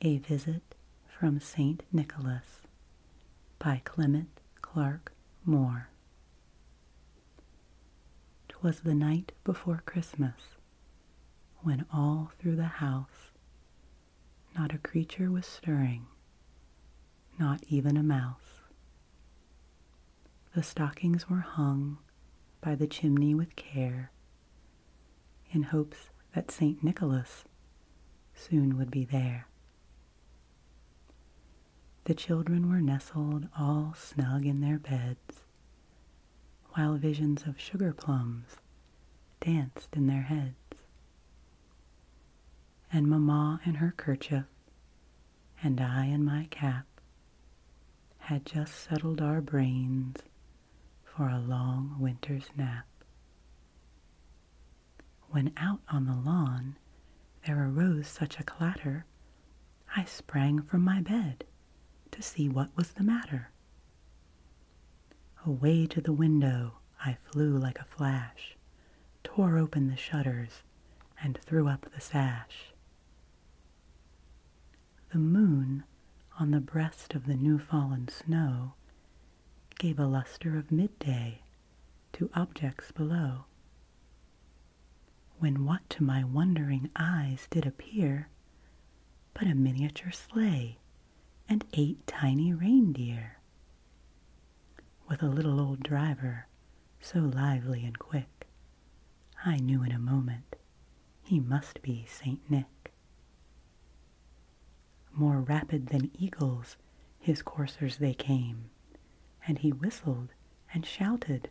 A Visit from St. Nicholas by Clement Clark Moore. 'Twas the night before Christmas when all through the house not a creature was stirring, not even a mouse. The stockings were hung by the chimney with care in hopes that St. Nicholas soon would be there. The children were nestled all snug in their beds, while visions of sugar plums danced in their heads. And Mamma in her kerchief, and I in my cap, had just settled our brains for a long winter's nap. When out on the lawn there arose such a clatter, I sprang from my bed to see what was the matter. Away to the window I flew like a flash, tore open the shutters, and threw up the sash. The moon on the breast of the new fallen snow gave a luster of midday to objects below. When what to my wondering eyes did appear but a miniature sleigh and eight tiny reindeer, with a little old driver so lively and quick, I knew in a moment he must be Saint Nick. More rapid than eagles his coursers they came, and he whistled and shouted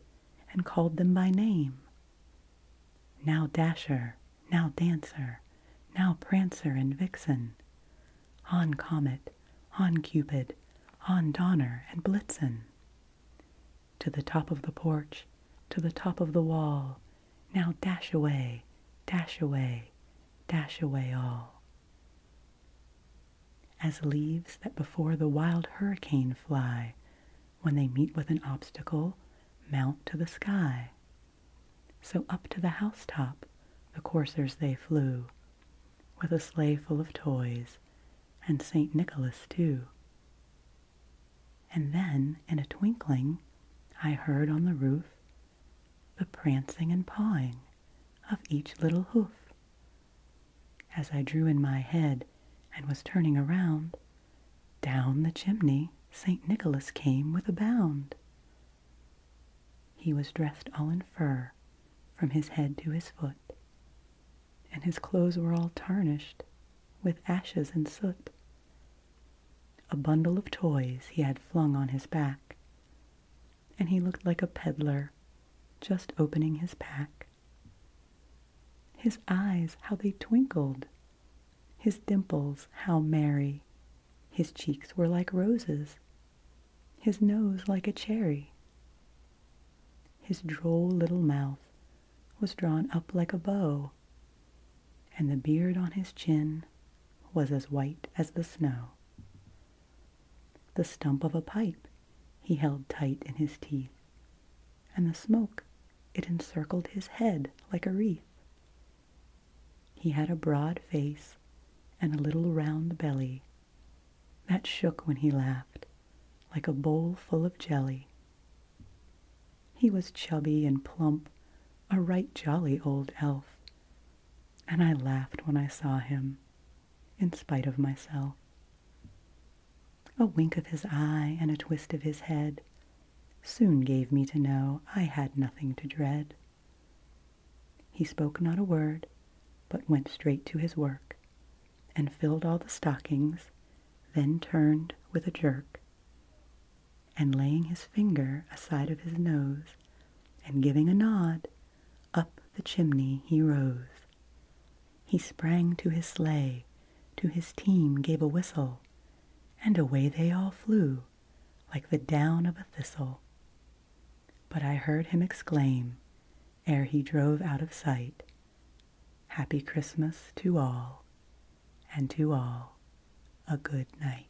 and called them by name. Now Dasher, now Dancer, now Prancer and Vixen, on Comet, on Cupid, on Donner and Blitzen to the top of the porch, to the top of the wall. Now dash away, dash away, dash away all. As leaves that before the wild hurricane fly, when they meet with an obstacle, mount to the sky. So up to the house top, the coursers they flew, with a sleigh full of toys, and St. Nicholas too. And then, in a twinkling, I heard on the roof the prancing and pawing of each little hoof. As I drew in my head and was turning around, down the chimney St. Nicholas came with a bound. He was dressed all in fur from his head to his foot, and his clothes were all tarnished with ashes and soot. A bundle of toys he had flung on his back, and he looked like a peddler just opening his pack. His eyes, how they twinkled, his dimples, how merry, his cheeks were like roses, his nose like a cherry. His droll little mouth was drawn up like a bow, and the beard on his chin was as white as the snow. The stump of a pipe he held tight in his teeth, and the smoke it encircled his head like a wreath. He had a broad face and a little round belly that shook when he laughed, like a bowl full of jelly. He was chubby and plump, a right jolly old elf, and I laughed when I saw him, in spite of myself. A wink of his eye and a twist of his head soon gave me to know I had nothing to dread. He spoke not a word, but went straight to his work, and filled all the stockings, then turned with a jerk, and laying his finger aside of his nose, and giving a nod, up the chimney he rose. He sprang to his sleigh, to his team gave a whistle, and away they all flew, like the down of a thistle. But I heard him exclaim, ere he drove out of sight, Happy Christmas to all, and to all a good night.